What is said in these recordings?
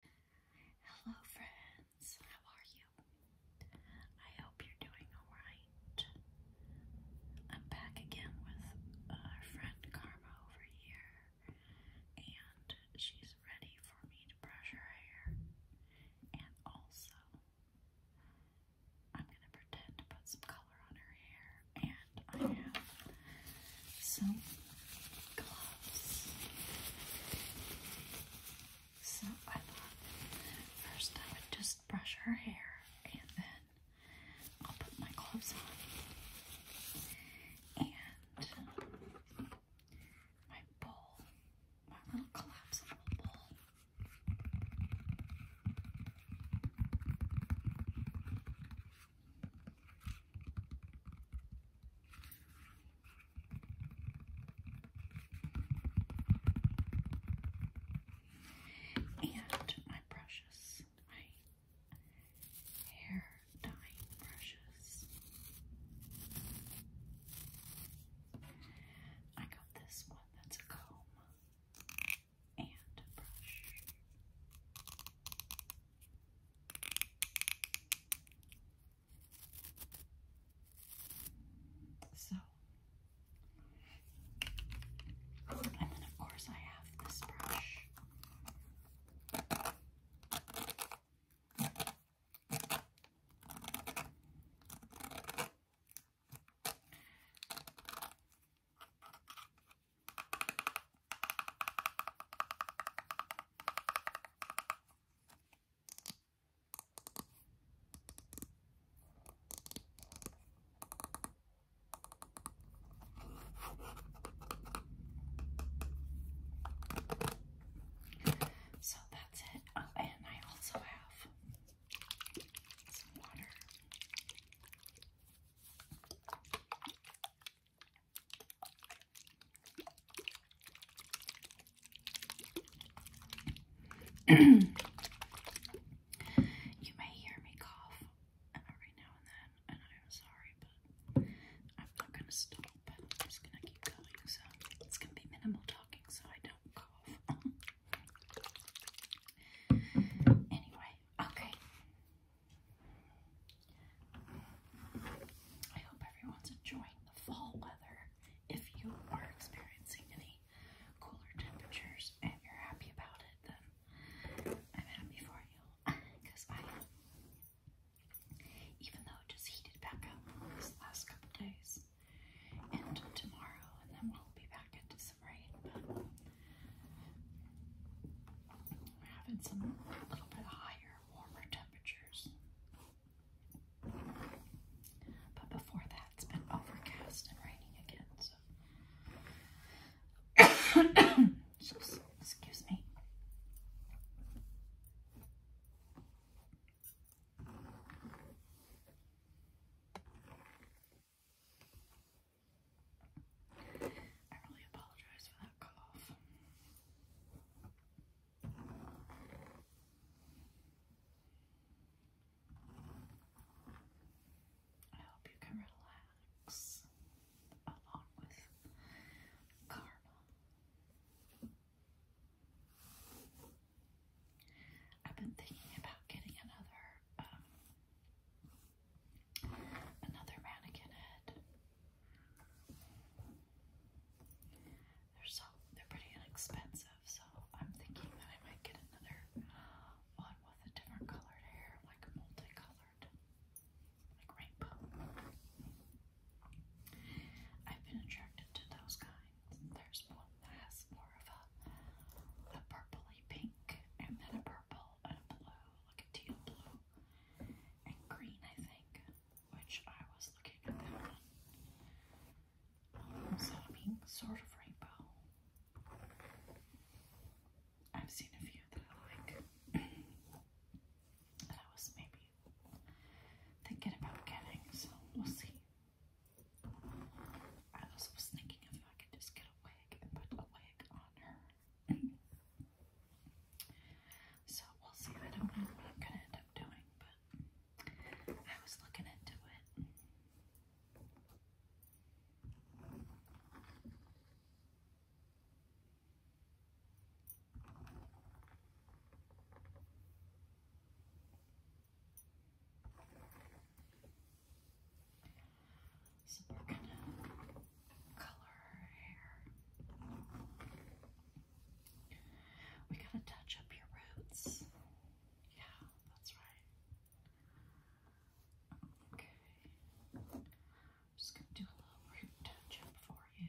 Hello, friends. How are you? I hope you're doing all right. I'm back again with our friend Karma over here, and she's ready for me to brush her hair. And also, I'm going to pretend to put some color on her hair, and I have some gloves. So I thought first I would just brush her hair and then I'll put my gloves on. And my bowl, my little collapsible bowl. And my brushes, my hair dyeing brushes. I got this one that's a comb and a brush. So, and then of course I have this brush. So that's it. Um, and I also have some water. you may hear me cough uh, every now and then, and I'm sorry, but I'm not going to stop. I'm just going to keep going, so it's going to be minimal talking so I don't cough. anyway, okay. I hope everyone's enjoying the fall weather. If you are experiencing any cooler temperatures and you're happy about it, then I'm happy for you. Because I am. Even though it just heated back up these last couple days and tomorrow, and then we'll be back into some rain. But we're having some a little bit higher warmer temperatures. But before that, it's been overcast and raining again, so. Excuse me. I really apologize for that cough. I hope you can relax along with karma. I've been thinking about getting another um, another mannequin head. They're so they're pretty inexpensive, so I'm thinking that I might get another one with a different colored hair, like multicolored, like rainbow. I've been attracted to those kinds. There's one that has more of a a purpley pink, and then a purple and a blue, like a teal blue, and green, I think which I was looking at that one. Um, so, I sort of rainbow. I've seen a few that I like. that I was maybe thinking about getting, so we'll see. I also was thinking if I could just get a wig and put a wig on her. So we'll see. I don't know what I'm gonna end up doing, but I was looking into it. So we're gonna color her hair. We gotta touch up your roots. Yeah, that's right. Okay. just gonna do a little root touch up for you.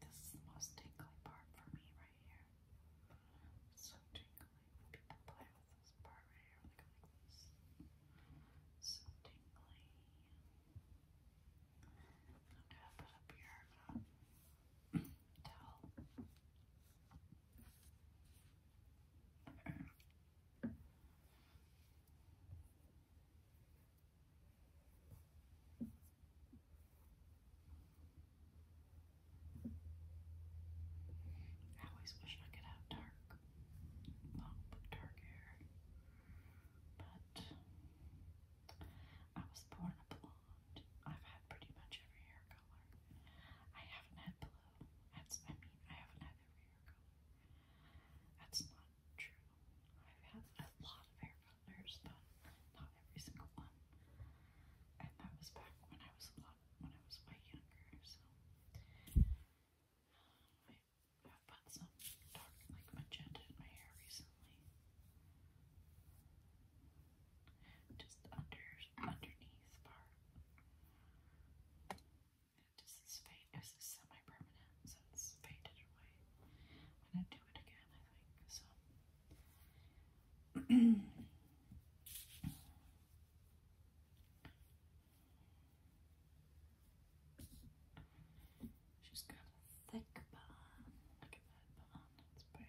This is the most tingly part for me right here. So tingly people play with this part right here, like, this. So tingly. I'm gonna put up your um, towel. I always wish I could have dark, long, dark hair, but I was born a blonde. I've had pretty much every hair color. I haven't had blue. That's, I mean, I haven't had every color. That's not true. I've had a lot of hair colors, but not every single one. And that was back when I was a lot, when I was way younger, so. I have put some dark, like magenta in my hair recently just under underneath part. And this is fade. semi-permanent, so it's faded away. I'm gonna do it again, I think. So. She's got a thick bun. Look at that bun. It's big.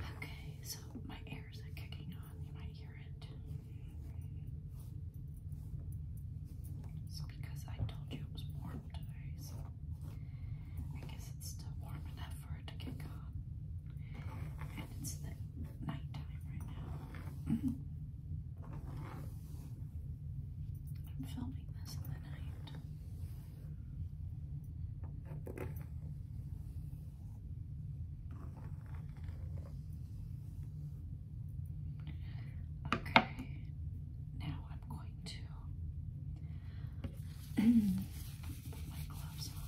Okay, so my ears are kicking on. You might hear it. It's because I told you it was warm comforters. I guess it's still warm enough for it to get gone. And it's the nighttime right now. I'm filming this in the night. Okay, now I'm going going put my gloves on.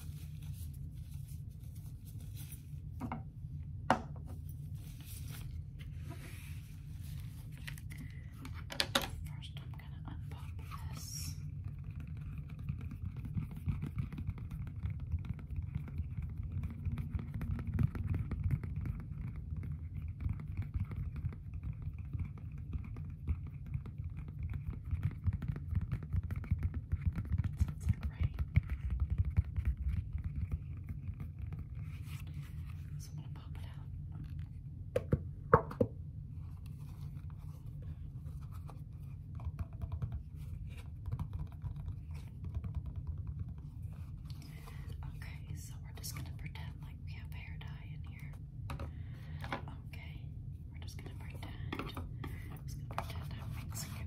First, I'm going to unpop this. That's it, right? So I'm gonna pop it out. Okay, so we're just gonna pretend like we have hair dye in here. Okay, we're just gonna pretend. Just gonna pretend I'm mixing it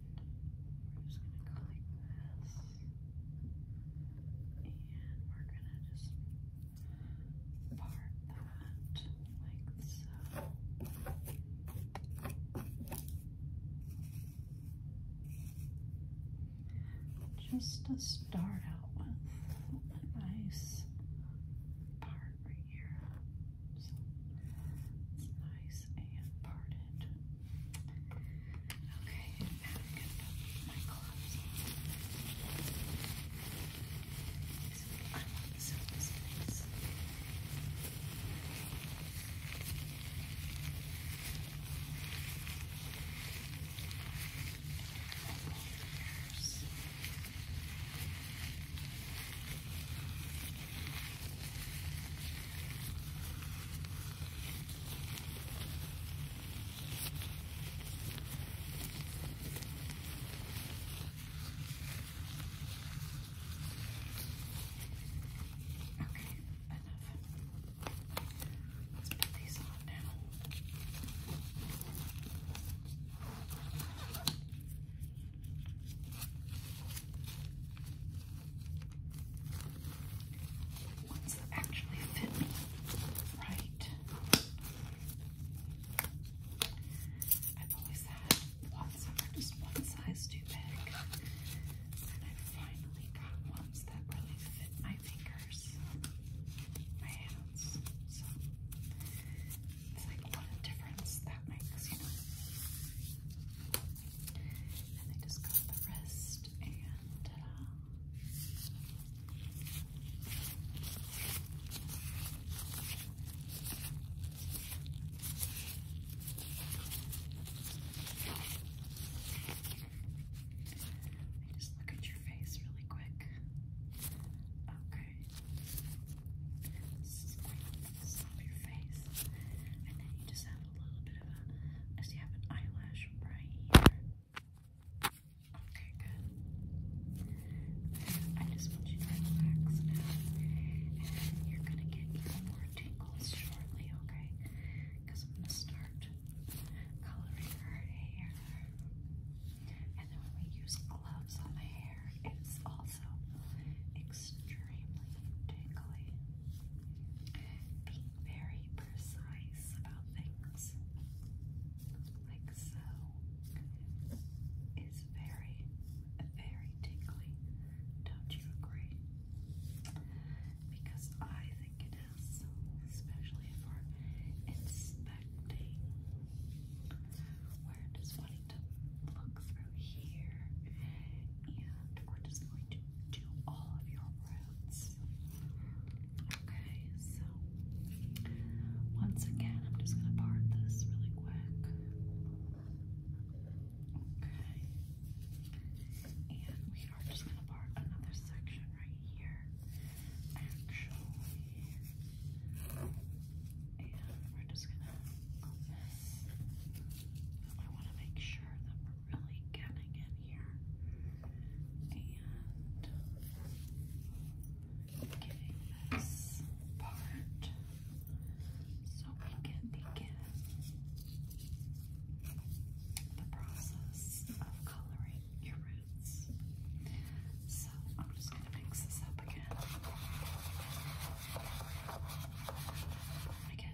We're just gonna go like this. And we're gonna just part that like so. Just to start out with a nice part right here. So it's nice and parted it. Okay, and now I'm going to put my gloves on. I want the silver space. Okay, Okay, enough. Let's put these on now. Okay ones that actually fit me right. I've always had ones that were just one size too big, and I finally got ones that really fit my fingers, my hands. So it's like what a difference that makes, you know. And they just got the rest and uh, I just look at your face really quick. Okay slap your face, and then you just have a little bit of a, as you have an eyelash right here. Okay, good. I just want you to relax now, and you're gonna get even more tingles shortly, okay? Because I'm gonna start coloring her hair, and then when we use gloves on the hair, it's also extremely extremely very precise about things, like so, is very, very tingly. Don't you agree? Because I think it is, especially if we're inspecting. We're just wanting to look through here, and we're just going to to all of your roots. Okay, so once again, I'm just going to part this really quick. Okay, and we are just going to part another section right here, actually. And we're just going to open this. I want to make sure that really getting in here and getting this part so we can begin the process of coloring your roots. So I'm just going to mix this up again. I get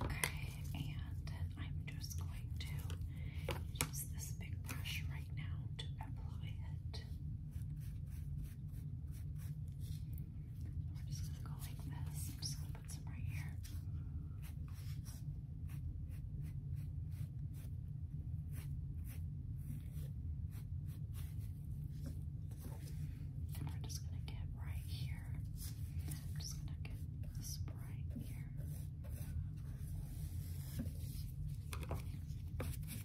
Okay, and I'm just going to use this big brush right now to apply it. We're just going to go like this. I'm just going to put some right here. And we're just gonna get right here. just gonna get this right here. Okay, I'm gonna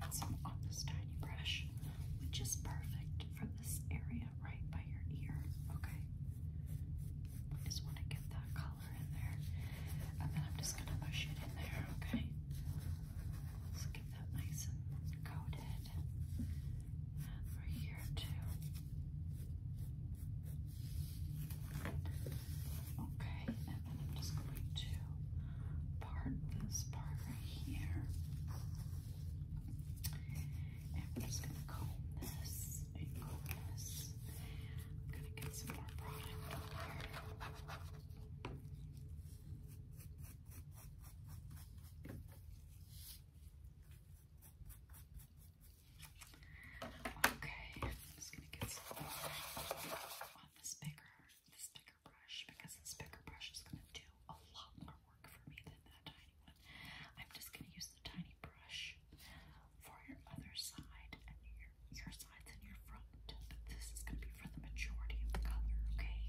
get some on this tiny brush, which is perfect for this area right by your ear. Okay. just want to get that color in there. And then I'm just gonna push it in there, okay? Let's get that nice and coated. And here too. Okay, and then I'm just going to part this part right here. And we're just gonna comb this and comb this. I'm gonna get some more product here. Okay, I'm just gonna get some more on this bigger, this bigger brush because this bigger brush is gonna do a lot more work for me than that tiny one. I'm just gonna use a tiny brush for your other side and your, your sides and your front. But this is going to be for the majority of the color, Okay,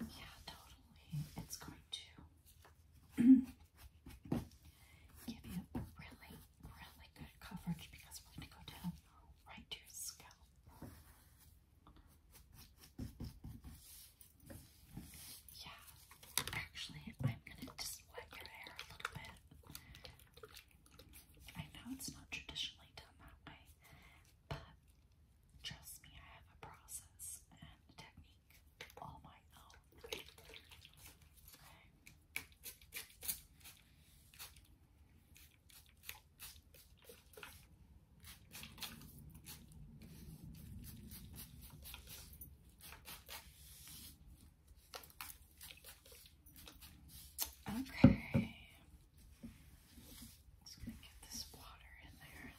Yeah, totally. It's going to give you really, really good coverage because we're going to go down right to your scalp. Yeah, actually, I'm going to just wet your hair a little bit. I know it's not traditionally done that way, trust me, I have a process and a technique all my own. Okay, just gonna get this water in there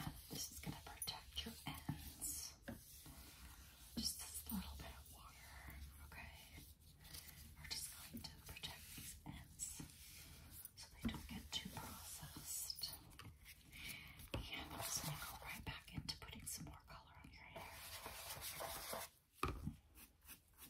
And this is gonna protect your ends. Just this little bit of water, okay? We're just going to protect these ends so they don't get too processed. And I'm just gonna go right back into putting some more color on your hair.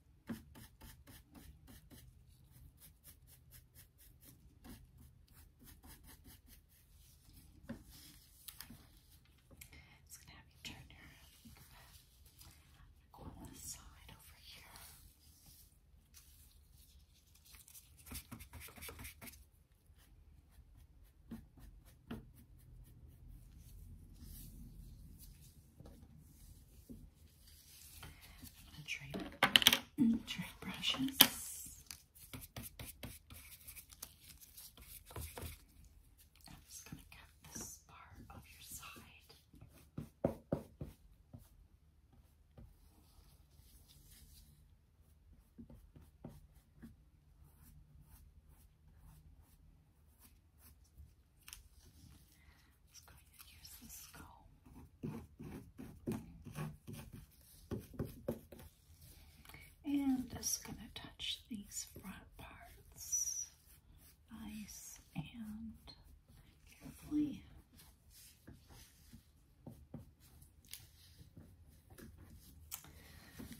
It's gonna have you turn your go on this side over here. Okay. I'm gonna trade, trade brushes. I'm just gonna cut this part of your side. Just going to use this comb. And just going to touch these front parts nice and carefully.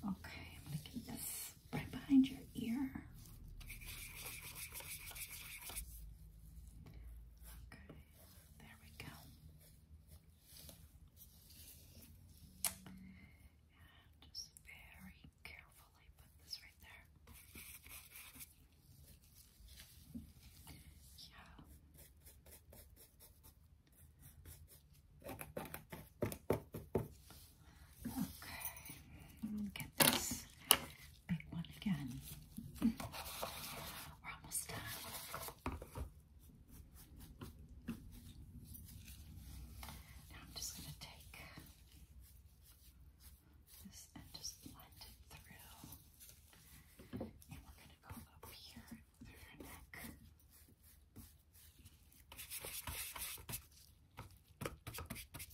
Okay, I'm this right behind your ear. Okay, there we go. And just very carefully put this right there. Yeah. Okay, get this big one again. We're almost done. Now I'm just going to take this and just blend it through. And we're going to go up here through her neck.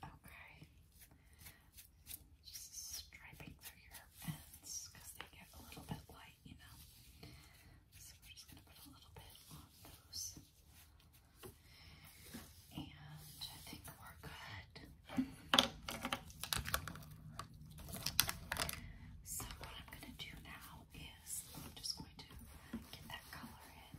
Okay. Just striping through your ends because they get a little bit light, you know. So we're just going to put a little bit on those. And I think we're good. So what I'm going to do now is I'm just going to get that color in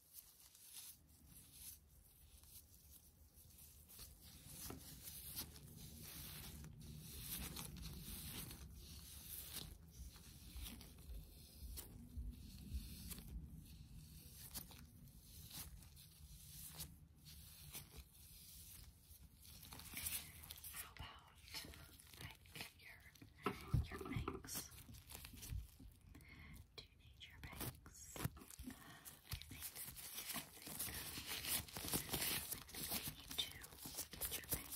How about like your your bangs. Do you need your bangs? I think, you need to get your bangs.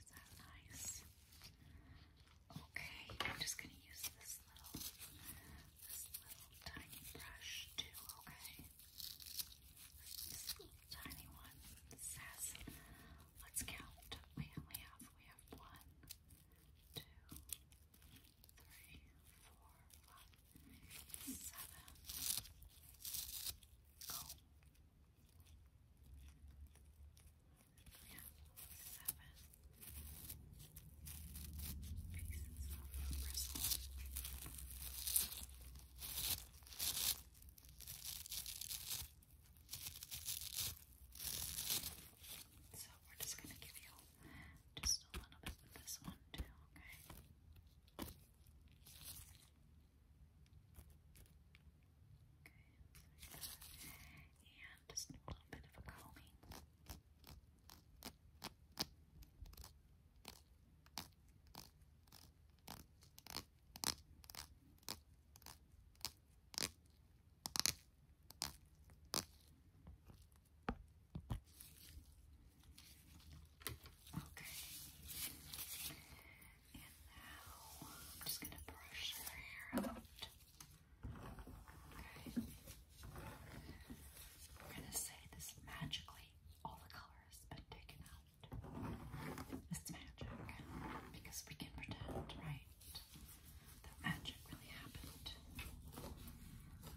Is that nice? Okay, I'm just going to use this little, this little tiny brush too, okay? This little tiny one says, let's count. we have, we have one, two, three, four, five, seven. Yeah, seven pieces of bristle. So we're just going to give you just a little bit with this one too, okay? Okay, and just a little bit of a combing. Okay. And now I'm just going to brush her hair out. Okay. We're going to say this magically. All the color has been taken out. It's magic. Because we can pretend, right? That magic really happened.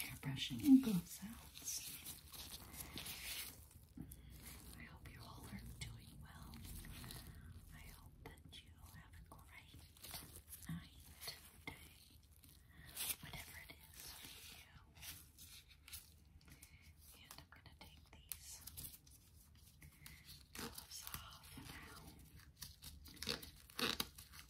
Hair brushing and mm-hmm. glove I hope you all are doing well. I hope that you have a great night, day, whatever it is And I'm going to take these gloves off now.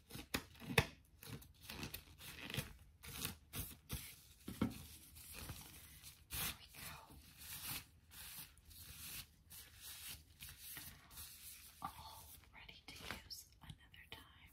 There we All ready to use another time.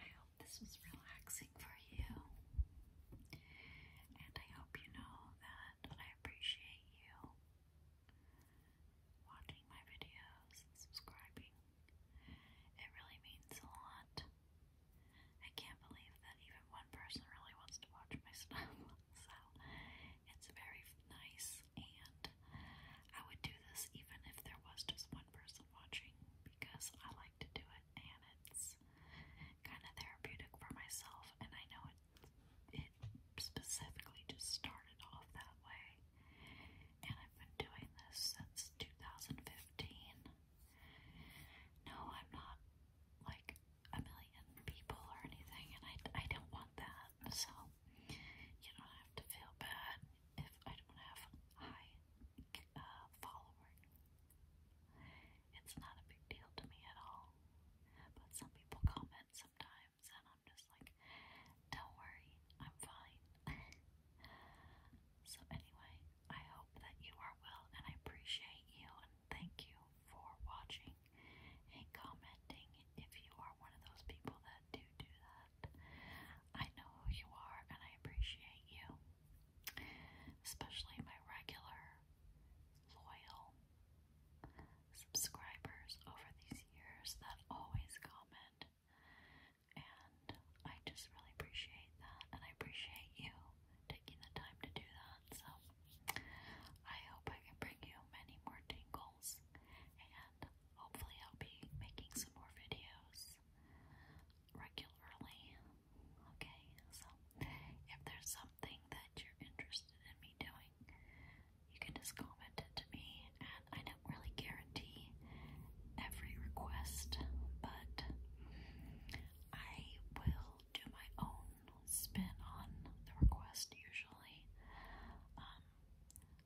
I hope this was relaxing for you, and I hope you know that I appreciate you watching my videos, and subscribing. It really means a lot. I can't believe that even one person really wants to watch my stuff, so it's very nice, and I would do this even if there was just one person watching, because I like to do it, and it's kind of therapeutic for myself, and I know it, it specifically just started off that way, and I've been doing this since 2015. No, I'm not like a million people or anything, and I, I don't want that. So, you don't have to feel bad if I don't have high uh, following. It's not a big deal to me at all. But some people comment sometimes times, I'm just like, don't worry, I'm fine. so, anyway, I hope that you are well, and I appreciate you, and thank you for watching and commenting. If you are one of those people that do do that, I know who you are, and I appreciate you, especially my regular, loyal. Subscribers over these years that always comment and I just really appreciate that. And I appreciate you taking the time to do that. So I hope I can bring you many more tingles. And hopefully, I'll be making some more videos regularly. Okay, so if there's something that you're interested in me doing, you can just comment it to me. And I don't really guarantee every request, but I will do my own spin on the request usually. Um,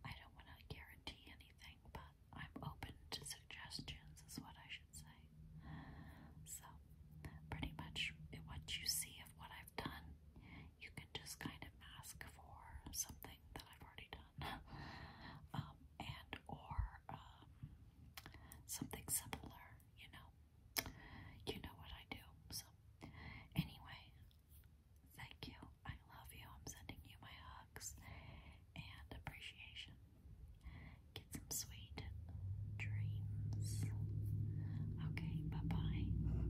I don't want to guarantee anything, but I'm open to suggestions, is what I should say. So, pretty much what you see of what I've done, you can just kind of mask for something that I've already done. Um, and or um, something similar, you know. You know what I do. So anyway, thank you. I love you. I'm sending you my hugs and appreciation. Get some sweet dreams. Okay, bye-bye.